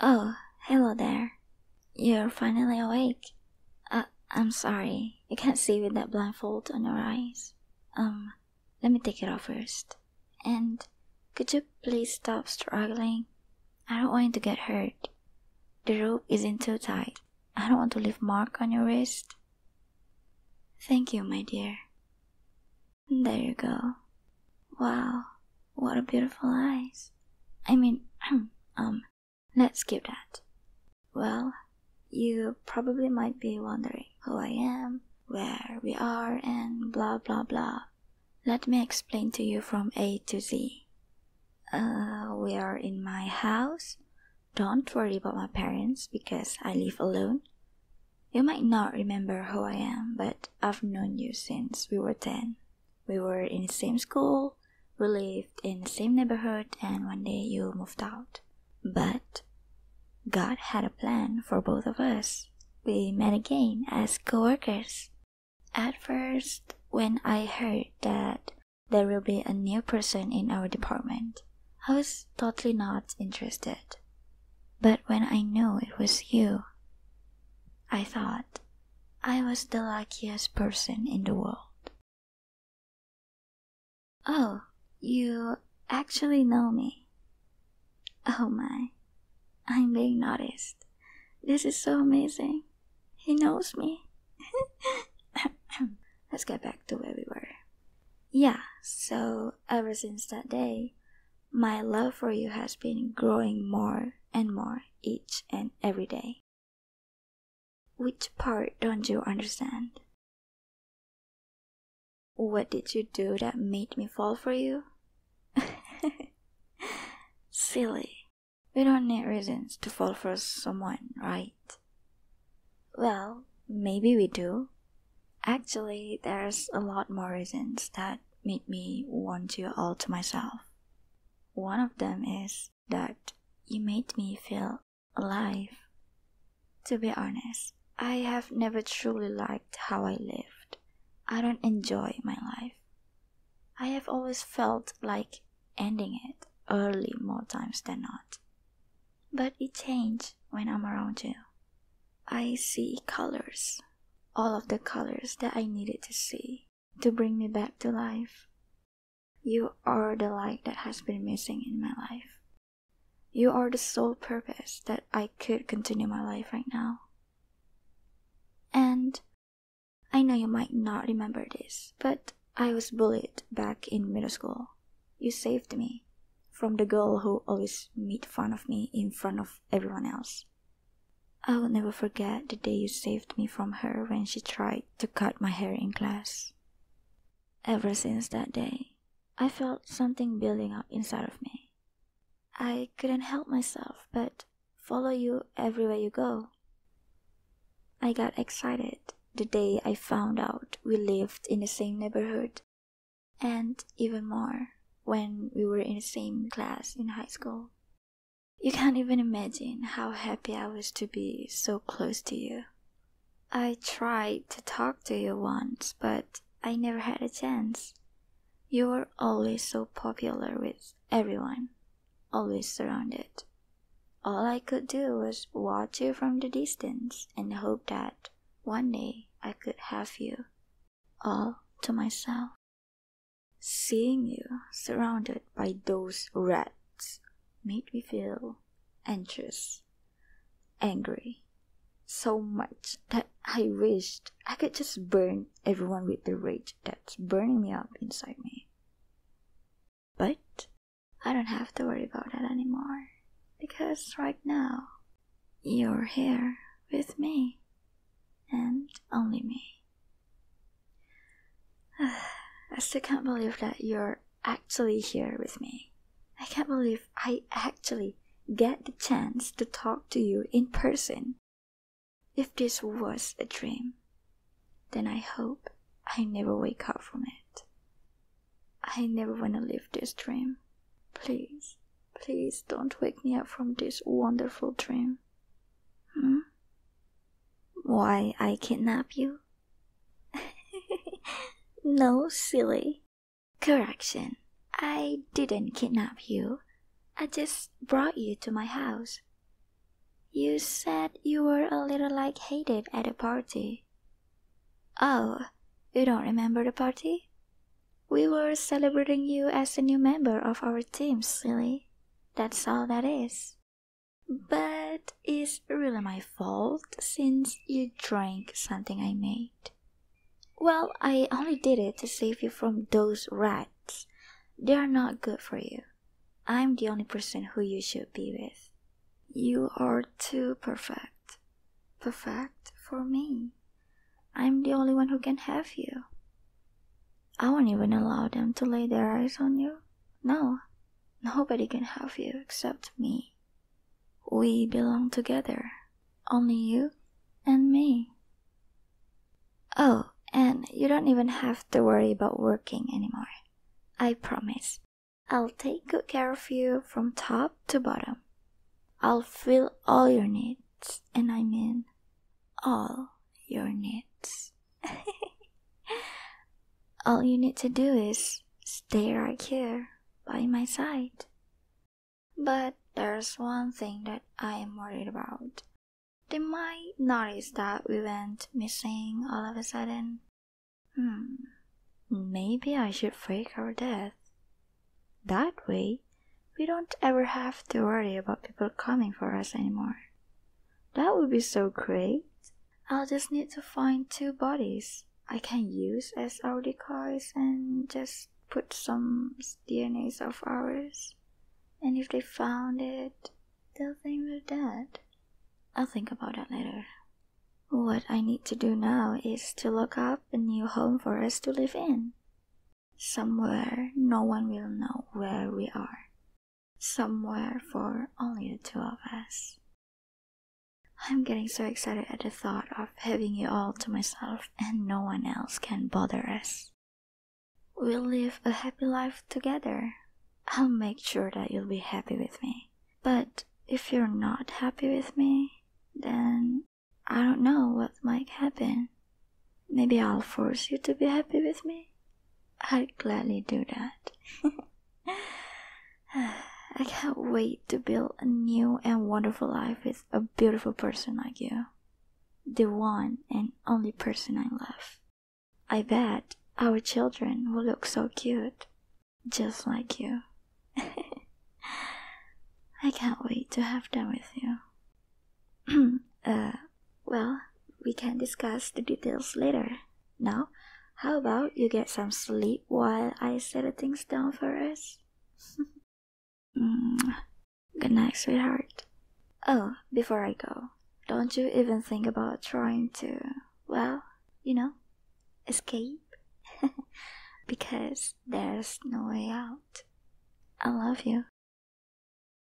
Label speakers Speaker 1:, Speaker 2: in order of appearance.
Speaker 1: Oh, hello there. You're finally awake. Uh, I'm sorry. You can't see with that blindfold on your eyes. Um, let me take it off first. And could you please stop struggling? I don't want you to get hurt. The rope isn't too tight. I don't want to leave mark on your wrist. Thank you, my dear. There you go. Wow, what a beautiful eyes. I mean, um, let's skip that. Well, you probably might be wondering who I am, where we are, and blah blah blah. Let me explain to you from A to Z. Uh, we are in my house. Don't worry about my parents because I live alone. You might not remember who I am, but I've known you since we were 10. We were in the same school, we lived in the same neighborhood, and one day you moved out. But God had a plan for both of us. We met again as coworkers. At first, when I heard that there will be a new person in our department, I was totally not interested. But when I knew it was you, I thought I was the luckiest person in the world. Oh, you actually know me. Oh my, I'm being noticed. This is so amazing. He knows me. Let's get back to where we were. Yeah, so ever since that day, my love for you has been growing more and more each and every day. Which part don't you understand? What did you do that made me fall for you? Silly. We don't need reasons to fall for someone, right? Well, maybe we do. Actually, there's a lot more reasons that made me want you all to myself. One of them is that you made me feel alive. To be honest, I have never truly liked how I lived. I don't enjoy my life. I have always felt like ending it early more times than not. But it changes when I'm around you. I see colors, all of the colors that I needed to see to bring me back to life. You are the light that has been missing in my life. You are the sole purpose that I could continue my life right now. And I know you might not remember this, but I was bullied back in middle school. You saved me from the girl who always made fun of me in front of everyone else. I will never forget the day you saved me from her when she tried to cut my hair in class. Ever since that day, I felt something building up inside of me. I couldn't help myself, but follow you everywhere you go. I got excited the day I found out we lived in the same neighborhood, and even more when we were in the same class in high school. You can't even imagine how happy I was to be so close to you. I tried to talk to you once, but I never had a chance. You were always so popular with everyone, always surrounded. All I could do was watch you from the distance and hope that one day I could have you all to myself. Seeing you surrounded by those rats made me feel anxious, angry, so much that I wished I could just burn everyone with the rage that's burning me up inside me. But I don't have to worry about that anymore because right now you're here with me and only me. I still can't believe that you're actually here with me. I can't believe I actually get the chance to talk to you in person. If this was a dream, then I hope I never wake up from it. I never want to live this dream. Please, please don't wake me up from this wonderful dream. Hmm? Why I kidnap you? no, silly. Correction. I didn't kidnap you. I just brought you to my house. You said you were a little like hated at a party. Oh, you don't remember the party? We were celebrating you as a new member of our team, silly. That's all that is. But it's really my fault since you drank something I made. Well, I only did it to save you from those rats. They are not good for you. I'm the only person who you should be with. You are too perfect. Perfect for me. I'm the only one who can have you. I won't even allow them to lay their eyes on you. No, nobody can have you except me. We belong together, only you and me. Oh, and you don't even have to worry about working anymore. I promise. I'll take good care of you from top to bottom. I'll fill all your needs, and I mean all your needs. all you need to do is stay right here by my side. But there's one thing that I am worried about. They might notice that we went missing all of a sudden. Hmm, maybe I should fake our death. That way, we don't ever have to worry about people coming for us anymore. That would be so great. I'll just need to find two bodies I can use as our decoys and just put some DNAs of ours. And if they found it, they'll think we're dead. I'll think about that later. What I need to do now is to look up a new home for us to live in. Somewhere no one will know where we are, somewhere for only the two of us. I'm getting so excited at the thought of having you all to myself and no one else can bother us. We'll live a happy life together. I'll make sure that you'll be happy with me. But if you're not happy with me, then I don't know what might happen. Maybe I'll force you to be happy with me. I'd gladly do that. I can't wait to build a new and wonderful life with a beautiful person like you. The one and only person I love. I bet our children will look so cute, just like you. I can't wait to have them with you. uh, well, we can discuss the details later. Now, how about you get some sleep while I settle things down for us? mm. Good night, sweetheart. Oh, before I go, don't you even think about trying to, well, you know, escape? because there's no way out. I love you.